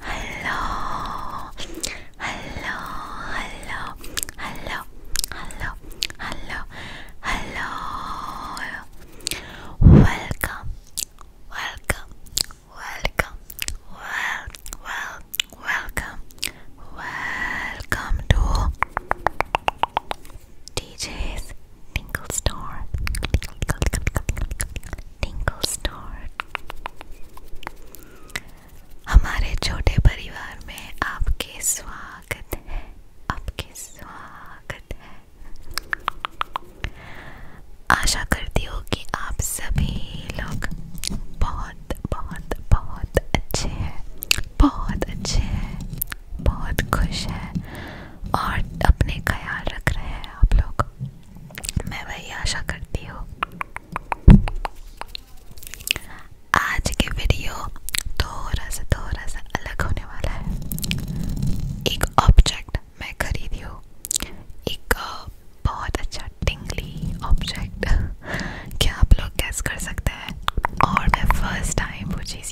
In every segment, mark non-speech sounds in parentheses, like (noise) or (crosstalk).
Hello, hello, hello, hello, hello, hello, hello. Welcome, welcome, welcome, well, welcome, welcome to DJs Tinkle Star Tinkle Star हमारे छोटे परिवार में आपके स्वागत है आपके स्वागत है आशा करती हूँ कि आप सभी लोग बहुत बहुत बहुत अच्छे हैं बहुत अच्छे हैं बहुत खुश है और अपने ख्याल रख रहे हैं आप लोग मैं वही आशा करती हूँ आज की वीडियो थोड़ा सा थोड़ा सा अलग होने वाला है एक ऑब्जेक्ट मैं खरीदी हूँ एक बहुत अच्छा टिंगली ऑब्जेक्ट (laughs) क्या आप लोग गैस कर सकते हैं और मैं फर्स्ट टाइम वो चीज़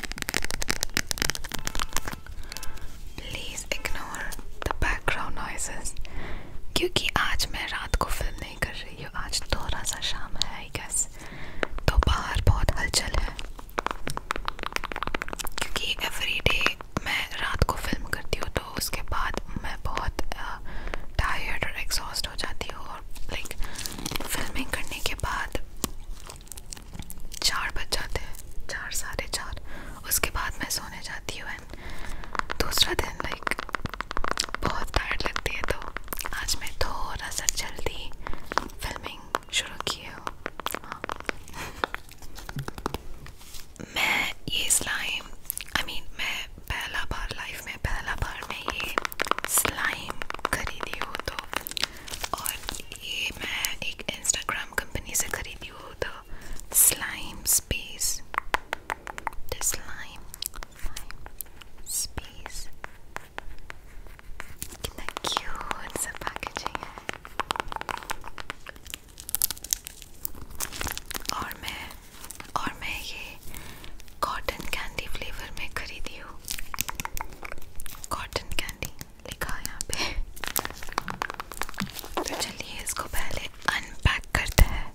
please ignore the background noises क्योंकि आज मैं रात को फिल्म नहीं कर रही हूँ आज थोड़ा सा शाम है आई गेस तो बाहर बहुत हलचल है क्योंकि एवरी डे मैं रात को फिल्म करती हूँ तो उसके बाद मैं बहुत टायर्ड और एग्जॉस्ट हो जाती हूँ और लाइक फिल्मिंग करने के बाद चार बज जाते हैं चार साढ़े चार उसके बाद मैं सोने जाती हूँ एंड दूसरा दिन लाइक बहुत टायर्ड लगती है तो आज मैं थोड़ा सा जल्दी फिल्मिंग शुरू की है हाँ। मैं ये slime I I mean mean, मैं पहला बार लाइफ में पहला बार मैं ये स्लाइम खरीदी हूँ तो और ये मैं एक इंस्टाग्राम कंपनी से खरीदी हूँ the slime space the slime space कितना क्यूट सा पैकेजिंग है और मैं और मैं ये कॉटन कैंडी फ्लेवर में खरीदी हूँ कॉटन कैंडी लिखा यहाँ पे तो चलिए इसको पहले अनपैक करते हैं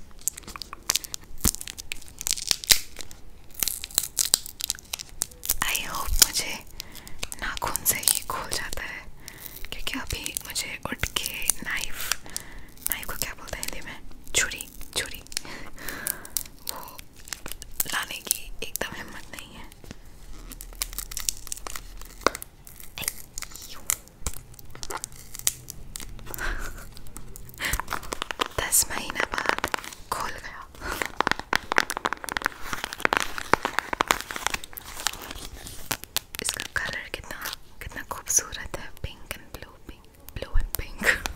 आई होप मुझे नाखून से ही खोल जाता है क्योंकि अभी मुझे उठ के नाइफ नाइफ को क्या बोलते हैं हिंदी में छुरी छुरी (laughs) वो लाने की एकदम हिम्मत नहीं है दस महीना बाद खोल गया इसका कलर कितना कितना खूबसूरत है pink and blue pink blue and pink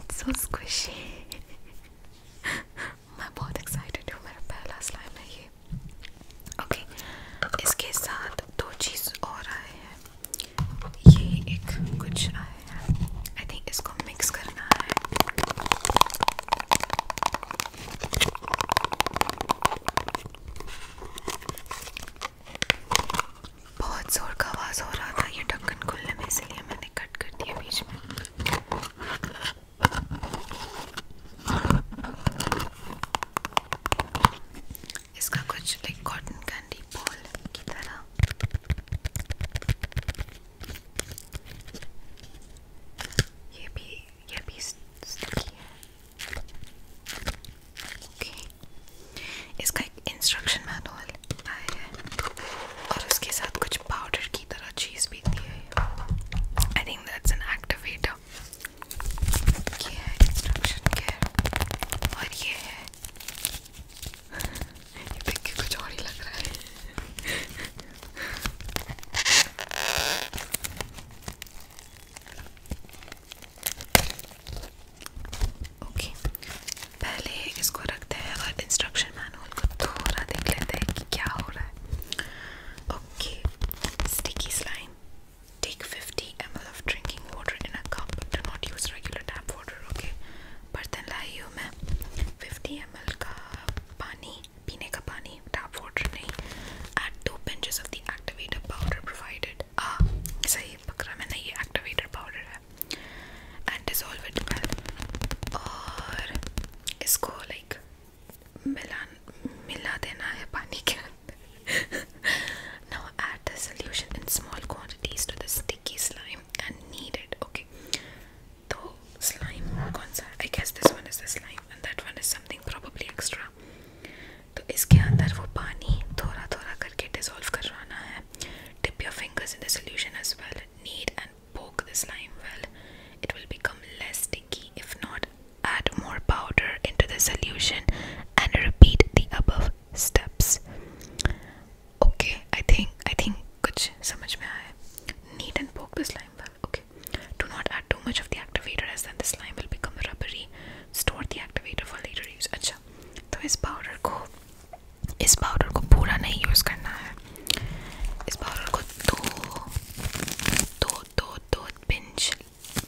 It's so squishy. (laughs) मैं बहुत एक्साइटेड हूँ मेरा पहला स्लाइम है ये ओके okay, इसके साथ दो चीज़ और आए हैं ये एक कुछ आए हैं आई थिंक इसको मिक्स करना है बहुत जोर का आवाज़ हो रहा था ये ढक्कन खुलने में इसलिए मैंने कट कर दिया बीच में इसका कुछ लाइक कॉटन कैंडी बॉल की तरह ये भी ये भी स्टिकी है ओके इसका एक इंस्ट्रक्शन मैनुअल आया है और उसके साथ कुछ पाउडर की तरह चीज़ भी दी है I think that's an activator ये है इंस्ट्रक्शन केयर और ये है (laughs) ये देख के कुछ और ही लग रहा है ओके पहले इसको रखते हैं और इंस्ट्रक्शन मैनुअल को थोड़ा देख लेते हैं कि क्या हो रहा है okay sticky slime take 50 ml of drinking water in a cup do not use regular tap water okay बर्तन लाई हूँ मैं 50 ml का पानी पीने का पानी tap water नहीं add two pinches of the activator powder provided आ सही पकड़ा मैंने ये activator powder है और इसको लाइक मिला मिला देना है पानी के अंदर नाउ ऐड एंड कौन सा एक्स्ट्रा तो इसके अंदर वो पानी थोड़ा थोड़ा करके डिजोल्व करवाना है slime. Dip your fingers in the solution as well. Knead and poke the slime well. It will become less sticky. If not, add more powder into the solution and repeat the above steps. Okay, I think I think kuch samajh mein aaya. Knead and poke the slime well. Okay. Do not add too much of the activator as then the slime will become rubbery. Store the activator for later use अच्छा तो इस powder को इस powder को पूरा नहीं use करना है इस पाउडर को दो दो दो दो पिंच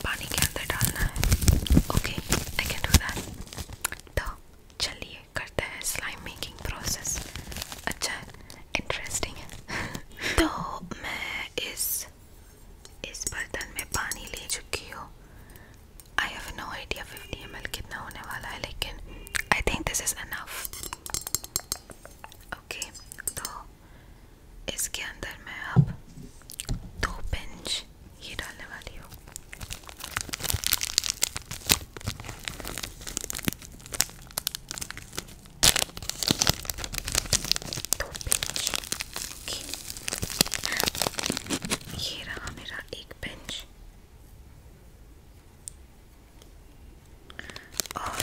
पानी के अंदर डालना है okay I can do that तो चलिए करते हैं स्लाइम मेकिंग प्रोसेस अच्छा इंटरेस्टिंग है (laughs) तो मैं इस इस बर्तन में पानी ले चुकी हूँ I have no idea 50 ml कितना होने वाला है लेकिन I think this is enough okay तो इसके अंदर मैं अब दो पिंच ये डालने वाली हूँ दो पिंच रहा मेरा एक बेंच और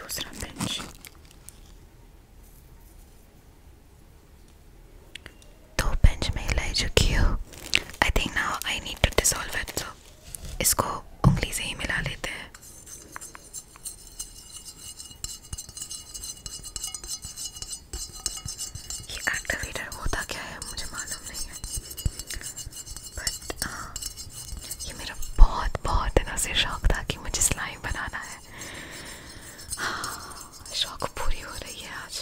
दूसरा बेंच दो बेंच में लाई चुकी हो I think now I need to dissolve इसको उंगली से ही मिला लेते हैं ये एक्टिवेटर होता क्या है मुझे मालूम नहीं है बट हाँ ये मेरा बहुत बहुत दिनों से शौक था कि मुझे स्लाइम बनाना है हाँ शौक पूरी हो रही है आज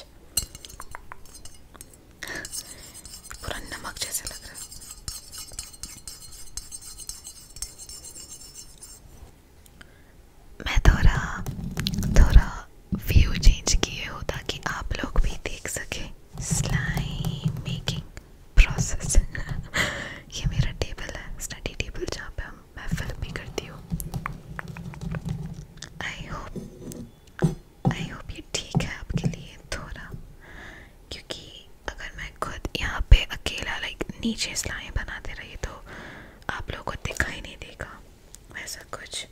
पूरा नमक जैसे लग रहा है मैं थोड़ा थोड़ा व्यू चेंज किए हो ताकि आप लोग भी देख सकें स्लाइम मेकिंग प्रोसेस ये मेरा टेबल है स्टडी टेबल जहाँ पे हम मैं फिल्में करती हूँ आई होप आई होप ये ठीक है आपके लिए थोड़ा क्योंकि अगर मैं खुद यहाँ पे अकेला लाइक नीचे सिलाएँ बनाते रही तो आप लोगों को दिखाई नहीं देगा वैसा कुछ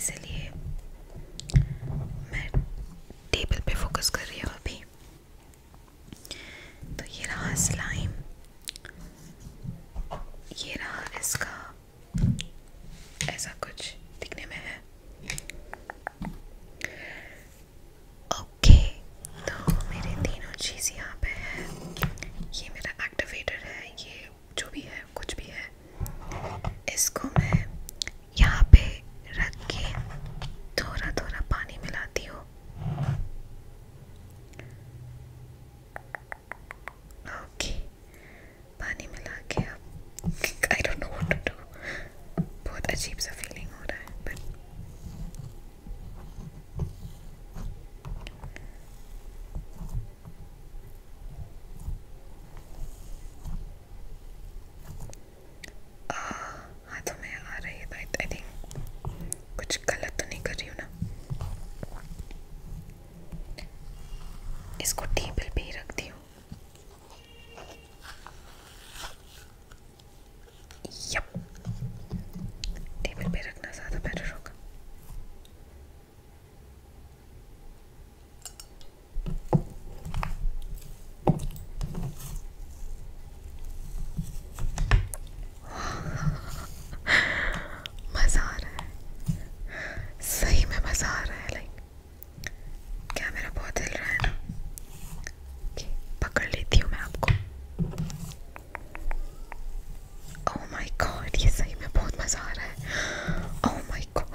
इसलिए मैं टेबल पे फोकस कर रही हूँ अभी तो ये रहा स्लाइम ये रहा इसका ऐसा कुछ दिखने में है ओके तो मेरे तीनों चीज़ यहाँ पे है ये मेरा एक्टिवेटर है ये जो भी है कुछ भी है इसको मैं यहाँ पे रख के थोड़ा थोड़ा पानी मिलाती हूँ ओके पानी मिला के अब I don't know what to do बहुत अजीब सा फीलिंग हो रहा है बट हाथों तो में आ रही है आई थिंक कुछ गलत तो नहीं कर रही हूँ ना इसको टेबल पे ही रखती हूँ यप टेबल पे रखना ज़्यादा बेटर होगा (laughs) मज़ा आ रहा है सही में मज़ा आ रहा है लाइक कैमरा बहुत हिल रहा है ना okay, पकड़ लेती हूँ मैं आपको ओह माय गॉड ये सही में बहुत मज़ा आ रहा है oh my god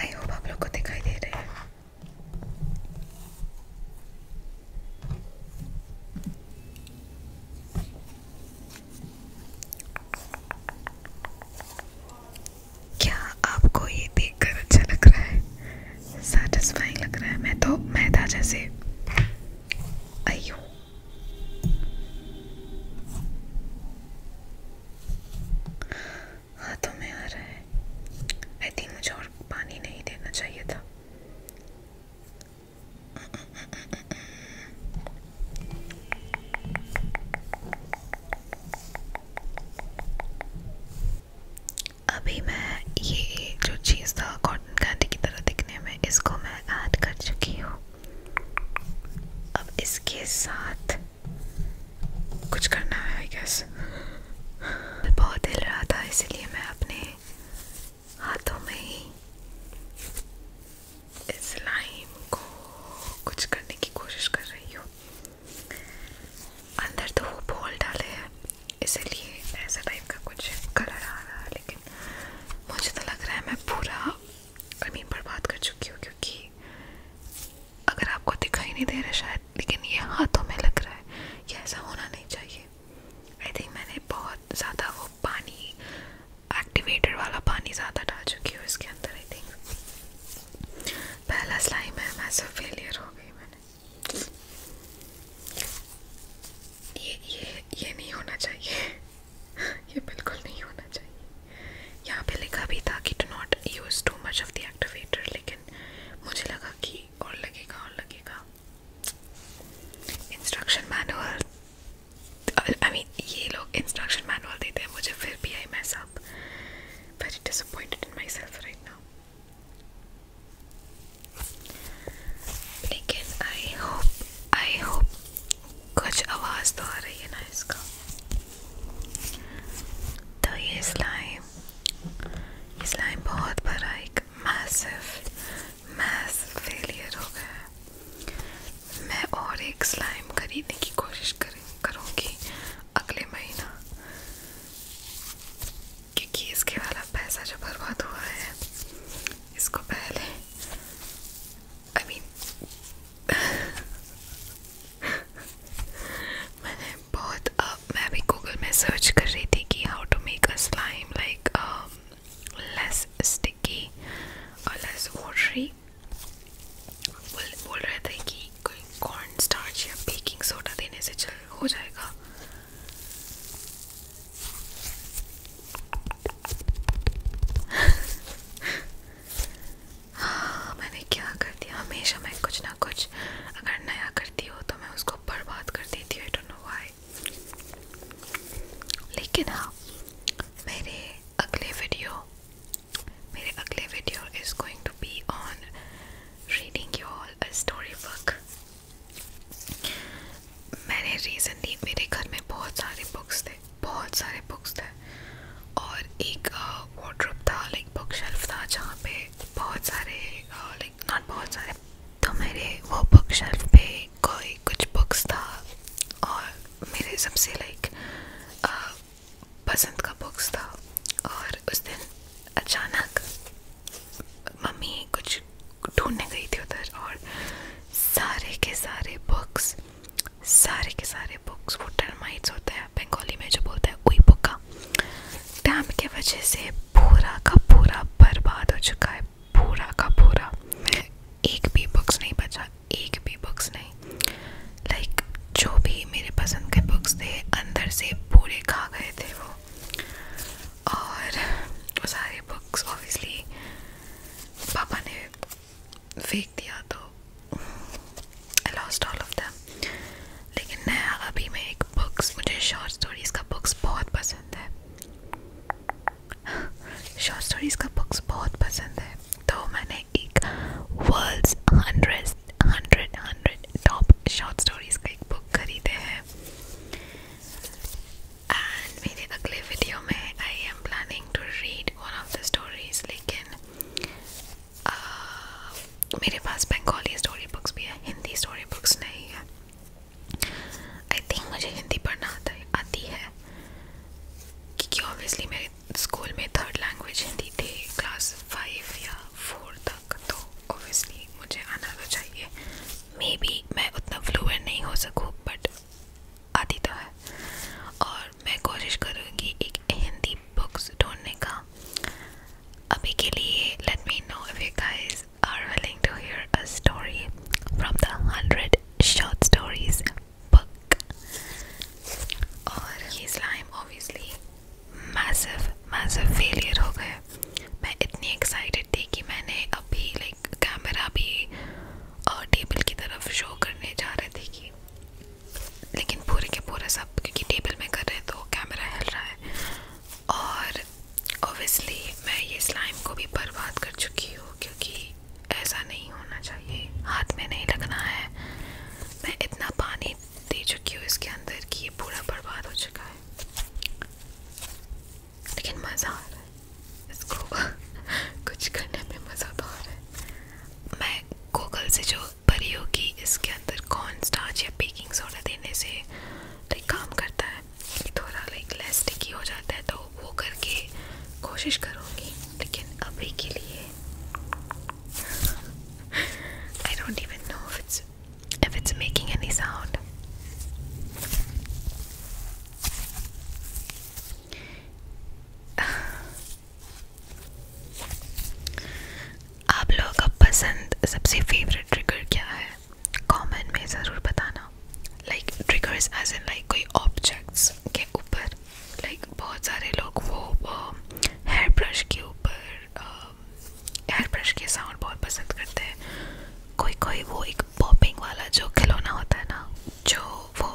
I hope आप लोग को दिखाई दे रहे हैं क्या आपको ये देखकर अच्छा लग रहा है सेटिस्फाइंग लग रहा है मैं तो मैदा जैसे अयो हाथों तो में आ रहा है आई थिंक मुझे और पानी नहीं देना चाहिए था अभी मैं ये जो चीज़ था कॉटन कैंडी की तरह दिखने में इसको मैं ऐड कर चुकी हूँ अब इसके साथ कुछ करना है आई गैस बहुत हिल रहा था इसलिए मैं अपने हाथों में ही इस लाइम को कुछ करने की कोशिश कर रही हूँ अंदर तो वो बॉल डाले हैं इसलिए ऐसा टाइप का कुछ कलर आ रहा है लेकिन मुझे तो लग रहा है मैं पूरा आई मीन कर चुकी हूँ क्योंकि अगर आपको दिखाई नहीं दे रहा शायद लेकिन ये हाथों में लग रहा है ये ऐसा होना नहीं चाहिए आई थिंक मैंने बहुत ज़्यादा वो पानी एक्टिवेटेड वाला पानी ज़्यादा डाल चुकी हूँ इसके अंदर आई थिंक पहला स्लाइम है मैसो फेलियर हो गई मैंने ये नहीं होना चाहिए ये बिल्कुल नहीं होना चाहिए यहाँ पे लिखा भी था कि do not use too much of the activator लेकिन मुझे लगा कि और लगेगा और लगेगा इंस्ट्रक्शन मैनुअल आई मीन ये लोग इंस्ट्रक्शन मैनुअल देते हैं मुझे फिर भी I mess up very disappointed in myself right now लेकिन आई होप आई होप कुछ आवाज़ तो आ रही है ना इसका तो ये स्लाइम ये स्लाइम बहुत बड़ा एक मैसिव मैस फेलियर हो गया है मैं और एक स्लाइम खरीदने की कोशिश करें करूँगी अगले महीना क्योंकि इसके वाला पैसा जो बर्बाद हुआ है इसको पहले I mean, (laughs) मैंने बहुत अब uh, मैं भी गूगल में सर्च कर रही थी कि how to make a slime like less sticky और लेस वाटरी बोल बोल रहे थे कि कोई कॉर्न स्टार्च या बेकिंग सोडा देने से चल हो जाएगा हाँ मैंने क्या कर दिया हमेशा मैं कुछ ना कुछ अगर नया करती हूँ तो मैं उसको बर्बाद कर देती हूँ आई डोंट नो व्हाई लेकिन हाँ मेरे अगले वीडियो मेरे अगले video is going to be on reading your story book मैंने रिसेंटली मेरे घर में बहुत सारे बुक्स थे बहुत सारे बुक्स थे और एक वार्ड्रोप था लाइक बुक शेल्फ था जहाँ पे बहुत सारे लाइक नॉट बहुत सारे तो मेरे वो बुक शेल्फ पे कोई कुछ बुक्स था और मेरे सबसे लाइक पसंद का बुक्स था और उस दिन अचानक मम्मी कुछ ढूंढने गई थी उधर और सारे के सारे बुक्स सारे के सारे बुक्स वो टर्माइट्स होते हैं बंगाली में जो बोलते हैं उई पुक्का डैम के वजह से पूरा का पूरा बर्बाद हो चुका है पूरा का पूरा एक भी बुक्स नहीं बचा एक भी बुक्स नहीं लाइक like, जो भी मेरे पसंद के बुक्स थे अंदर से पूरे खा गए थे वो और वो सारे बुक्स ऑब्वियसली पापा ने फेंक दिया तो I lost all of them लेकिन नया अभी मैं एक बुक्स मुझे शॉर्ट स्टोरीज का बुक्स बहुत पसंद है शॉर्ट स्टोरीज का बुक्स बहुत पसंद है तो मैंने एक world's hundred hundred hundred top short stories का एक बुक खरीदे हैं एंड मेरे अगले वीडियो में I am planning to read one of the stories लेकिन uh, मेरे पास बंगाली स्टोरी बुक्स भी है हिंदी स्टोरी बुक्स नहीं है आई थिंक मुझे हिंदी पढ़ना आता है आती है क्योंकि ऑब्वियसली मेरे स्कूल में थर्ड लैंग्वेज हिंदी थी क्लास फाइव या फोर तक तो ऑब्वियसली मुझे आना तो चाहिए मे बी मैं उतना फ्लुएंट नहीं हो सकूँ बट आती तो है और मैं कोशिश करूँगी एक हिंदी बुक्स ढूंढने का अभी के लिए let me know if you guys are willing to hear a story from the hundred short stories book और ये slime obviously massive massive failure हो गए मैं इतनी एक्साइटेड थी कि मैंने अभी लाइक लाइक कैमरा भी और टेबल की तरफ शो करने जा रहे थे कि लेकिन पूरे के पूरा सब क्योंकि टेबल में कर रहे हैं तो कैमरा हिल रहा है और ओबियसली मैं ये स्लाइम को भी बर्बाद कर चुकी हूँ क्योंकि ऐसा नहीं होना चाहिए हाथ में नहीं लगना है मैं इतना पानी दे चुकी हूँ इसके अंदर कि ये पूरा बर्बाद हो चुका है लेकिन मज़ा आ रहा है इसको (laughs) कुछ करने में मज़ा तो आ रहा है मैं गूगल से जो परी होगी इसके अंदर कॉर्न स्टार्च या बेकिंग सोडा देने से लाइक काम करता है थोड़ा लाइक लेस स्टिकी हो जाता है तो वो करके कोशिश करूँगी लेकिन अभी के लिए I don't even know if it's if it's making any sound आप लोगों का पसंद सबसे फेवरेट ट्रिगर क्या है कमेंट में ज़रूर बताना like triggers as an like कोई ऑब्जेक्ट्स के ऊपर लाइक like, बहुत सारे लोग वो हेयर ब्रश के ऊपर हेयर um, ब्रश के साउंड बहुत पसंद करते हैं कोई कोई वो एक एक पॉपिंग वाला जो खिलौना होता है ना जो वो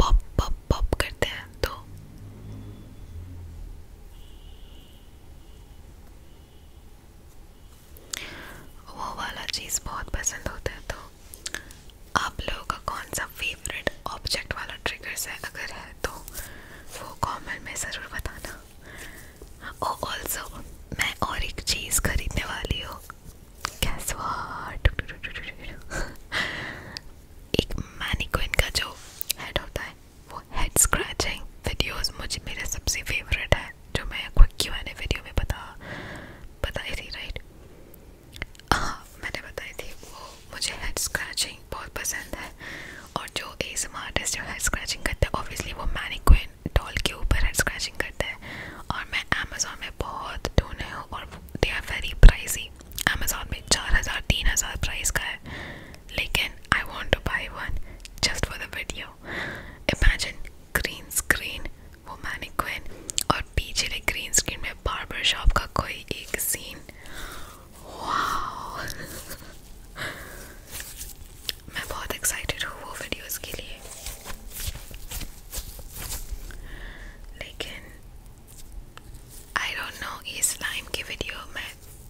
पॉप पॉप पॉप करते हैं तो वो वाला चीज़ बहुत पसंद होता है तो आप लोगों का कौन सा फेवरेट ऑब्जेक्ट वाला ट्रिगर्स है अगर है तो वो कमेंट में ज़रूर बताना हाँ, और ऑल्सो मैं और एक चीज़ खरीदने वाली हूँ guess what (laughs) एक मैनिक्विन का जो हेड होता है वो हेड स्क्रैचिंग मुझे मेरा सबसे फेवरेट है जो मैं कोई क्यू एन वीडियो में बता बताई थी राइट हाँ, मैंने बताई थी वो मुझे हेड बहुत पसंद है और जो एस आर्टिस्ट स्क्रैचिंग करते हैं ऑब्वियसली वो मैनिक्विन डॉल के ऊपर हेड स्क्रैचिंग करता है और मैं अमेज़ोन में बहुत ढूंढे हूँ और they are very pricey Amazon में चार हज़ार तीन हज़ार प्राइस का है लेकिन I want to buy one just for the video imagine green screen वो मैनिक्विन और पीछे ग्रीन स्क्रीन में बार्बर शॉप का कोई एक सीन वाह मैं बहुत एक्साइटेड हूँ वो वीडियोस के लिए लेकिन आई डोंट नो ये स्लाइम की वीडियो मैं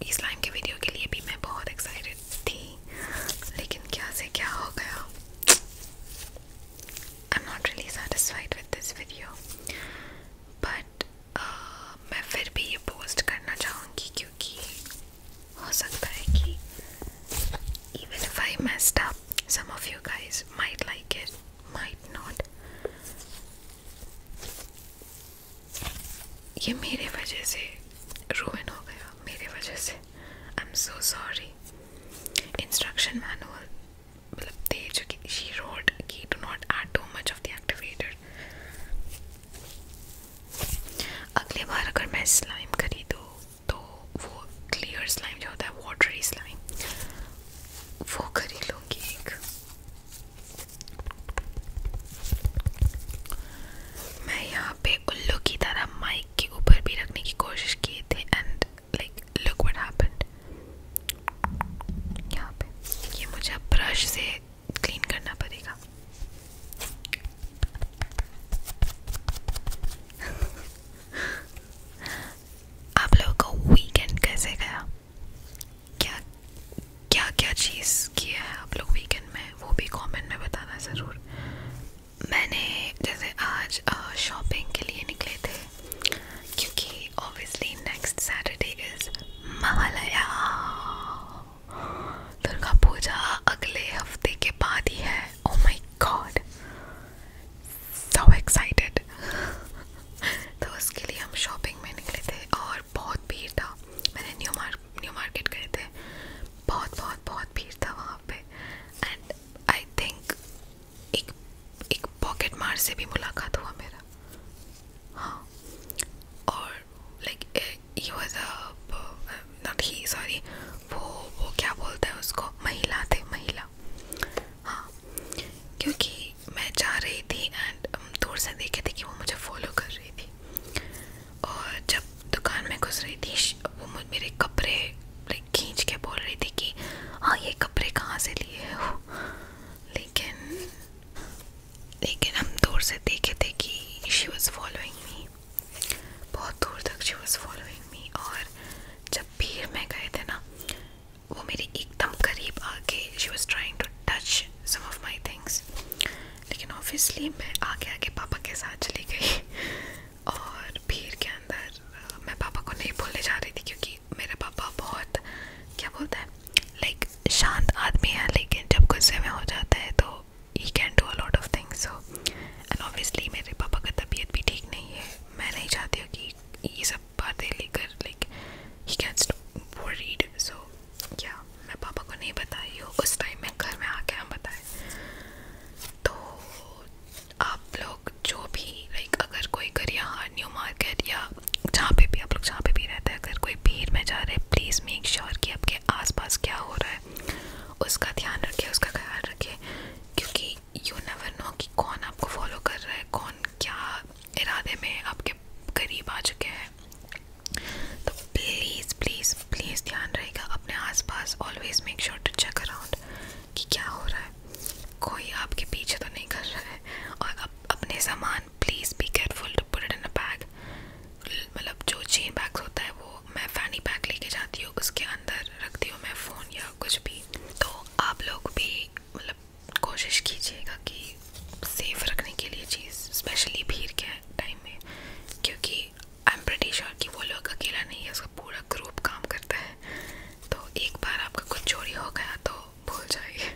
इस लाइम के वीडियो के लिए भी मैं बहुत एक्साइटेड थी लेकिन क्या से क्या हो गया I am not really satisfied with this video but मैं फिर भी ये पोस्ट करना चाहूँगी क्योंकि हो सकता है कि even if I messed up, some of you guys might like it, might not. ये मेरे वजह से ruin हो गया मेरे वजह से I'm so sorry. Instruction manual मतलब they she wrote कि do not add too much of the activator. अगली बार अगर मैं slime खरीदूँ तो वो क्लियर स्लाइम जो होता है वाटरी स्लाइम वो खरीद लूँगी एक मैं यहाँ पे उल्लू की तरह माइक के ऊपर भी रखने की कोशिश किए थे and like look what happened यहाँ पे ये मुझे ब्रश से क्लीन करना पड़ेगा (laughs) आप लोगों का वीकेंड कैसे गया क्या क्या क्या चीज़ किया है आप लोग वीकेंड में वो भी कमेंट में बताना ज़रूर मैंने जैसे आज शॉपिंग के लिए निकले थे क्योंकि obviously next Saturday is Mahalaya Durga Puja अगले हफ्ते के बाद ही है oh oh my god so excited तो उसके लिए हम शॉपिंग में निकले थे और बहुत भीड़ था मैंने न्यू मार्क न्यू मार्केट गए थे बहुत बहुत बहुत भीड़ था वहाँ पे एंड आई थिंक एक एक पॉकेट मार से भी मुलाकात हुआ मेरा हाँ और like he was not he sorry वो वो क्या बोलते हैं उसको महिला थे महिला हाँ क्योंकि मैं जा रही थी एंड um, दूर से देखे थे कि वो मुझे फॉलो कर रही थी और जब दुकान में घुस रही थी वो मुझ मेरे कपड़े लाइक खींच के बोल रही थी कि हाँ ये कपड़े कहाँ से लिए हो लेकिन लेकिन हम दूर से देखे थे कि शी वॉज फॉलोइंग मी बहुत दूर तक शी वॉज फॉलोइंग मी और जब भीड़ में गए थे ना वो मेरे एकदम करीब आके she was trying to touch some of my things लेकिन ऑब्वियसली मैं आगे आगे पापा के साथ चली गई (laughs) और भीड़ के अंदर मैं पापा को नहीं बोलने जा रही थी क्योंकि मेरे पापा बहुत क्या बोलते हैं लाइक शांत आदमी है लेकिन जब गुस्से में हो जाता है तो he can do a lot of things मेरे पापा का तबीयत भी ठीक नहीं है मैं नहीं चाहती हूँ कि ये सब बातें लेकर like he gets worried so क्या yeah, को नहीं बताई हूँ उस टाइम में घर में आके हम बताए तो आप लोग जो भी लाइक अगर कोई घर यहाँ न्यू मार्केट या जहाँ पे भी आप लोग जहाँ पे भी रहते हैं अगर कोई भीड़ में जा रहे हैं प्लीज़ मेक श्योर कि आपके आसपास क्या हो रहा है है उसका ध्यान रखिए उसका ख्याल रखिए क्योंकि यू नेवर नो कि कौन आपको फॉलो कर रहा है कौन क्या इरादे में आपके करीब आ चुके हैं तो प्लीज़ प्लीज़ प्लीज़ ध्यान रहेगा अपने आसपास always make sure to check around कि क्या हो रहा है कोई आपके पीछे तो नहीं कर रहा है और अप, अपने सामान please be careful to put it in a bag मतलब जो चेन बैग होता है वो मैं फैनी बैग लेके जाती हूँ उसके अंदर रखती हूँ मैं फ़ोन या कुछ भी तो आप लोग भी मतलब कोशिश कीजिएगा कि सेफ़ रखने के लिए चीज़ स्पेशली भीड़ के टाइम में क्योंकि आई एम प्रटी कि वो लोग अकेला नहीं है उसका पूरा ग्रुप काम करता है तो एक बार आपका कुछ चोरी हो गया तो भूल जाइए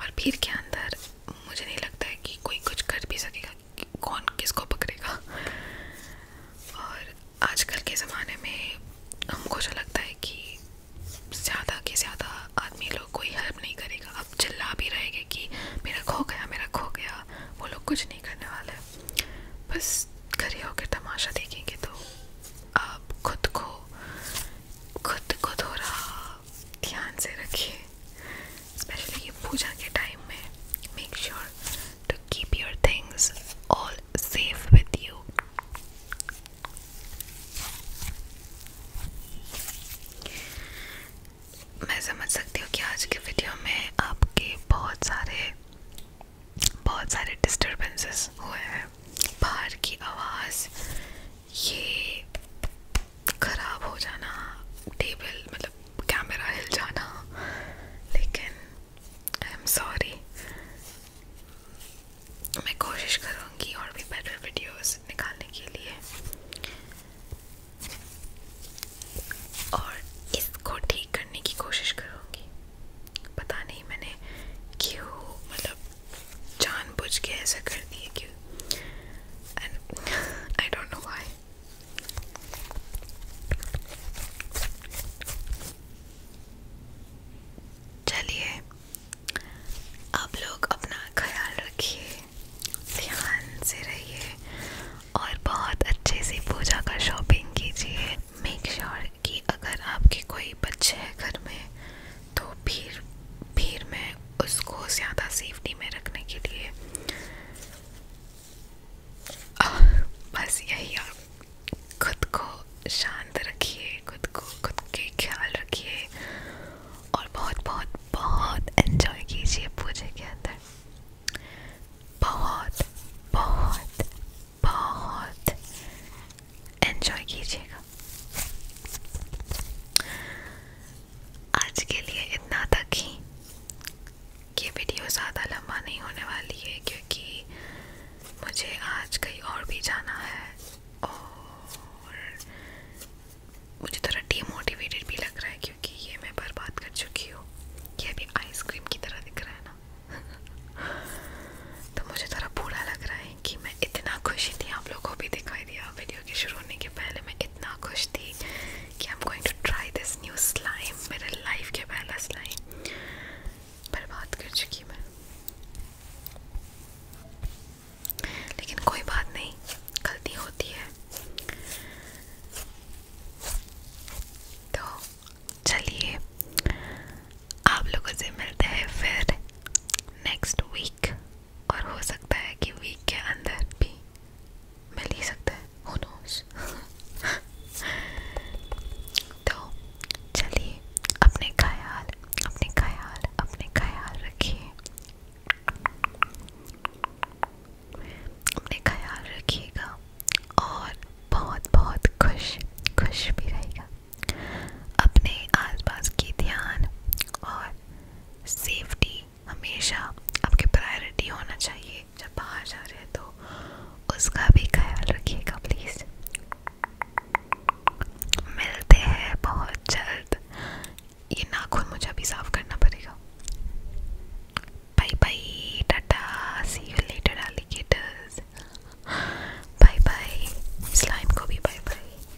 और भीड़ के अंदर मुझे नहीं लगता है कि कोई कुछ कर भी सकेगा कि कौन किसको पकड़ेगा और आजकल के ज़माने में हमको जो लगता है कि ज़्यादा के ज़्यादा आदमी लोग कोई हेल्प नहीं करेगा अब चिल्ला भी रहेगा कि मेरा खो गया मेरा खो गया वो लोग कुछ नहीं करने वाले बस घरे होकर तमाशा देखेंगे तो आप खुद को खुद को थोड़ा ध्यान से रखिए स्पेशली ये पूजा के टाइम में make sure sure to keep your things all safe with you. मैं समझ सकती हूँ कि आज की वीडियो में आपके बहुत सारे बहुत सारे डिस्टर्बेंसेस हुए हैं बाहर की आवाज़ ये खराब हो जाना टेबल मतलब कैमरा हिल जाना लेकिन आई एम सॉरी मैं कोशिश करूँगी और भी बेटर वीडियोस निकालने के लिए और इसको ठीक करने की कोशिश करूँगी पता नहीं मैंने क्यों मतलब जानबूझ के ऐसा कर दिया क्यों and I don't know why चलिए आप लोग अपना ख्याल रखिए ध्यान से रहिए और बहुत अच्छे से पूजा का शॉपिंग कीजिए मेक श्योर sure कि अगर आपके कोई बच्चे हैं घर में तो भीड़ भीड़ में उसको ज़्यादा सेफ्टी में रखने के लिए बस यही आप खुद को शांत रखिए खुद को खुद के ख्याल रखिए और बहुत बहुत बहुत एंजॉय कीजिए पूजे के अंदर बहुत बहुत बहुत एंजॉय कीजिएगा आज के लिए इतना तक ही ये वीडियो ज़्यादा लंबा नहीं होने वाली है क्योंकि मुझे आज कहीं और भी जाना है और मुझे थोड़ा डीमोटिवेटेड भी लग रहा है क्योंकि ये मैं बर्बाद कर चुकी हूँ ये अभी आइसक्रीम की तरह दिख रहा है ना (laughs) तो मुझे थोड़ा बुरा लग रहा है कि मैं इतना खुशी थी आप लोगों को भी दिखाई दिया वीडियो के शुरू होने के पहले मैं इतना खुश थी कि I am going to try this new slime मेरे लाइफ के पहला स्लाइम बर्बाद कर चुकी मैं लेकिन कोई बात नहीं गलती होती है तो चलिए आप लोगों से मिलते हैं फिर नेक्स्ट वीक और हो सकता है कि वीक के अंदर भी (laughs) तो चलिए अपने ख्याल अपने ख्याल अपने ख्याल रखिए अपने ख्याल रखिएगा और बहुत बहुत खुश खुश भी रहेगा अपने आसपास की ध्यान और सेफ्टी हमेशा आपके प्रायोरिटी होना चाहिए जब बाहर जा रहे हैं तो उसका भी ख्याल रखिएगा प्लीज़ मिलते हैं बहुत जल्द ये नाखून मुझे अभी साफ करना पड़ेगा bye bye tata see you later alligators bye bye slime को भी बाय बाय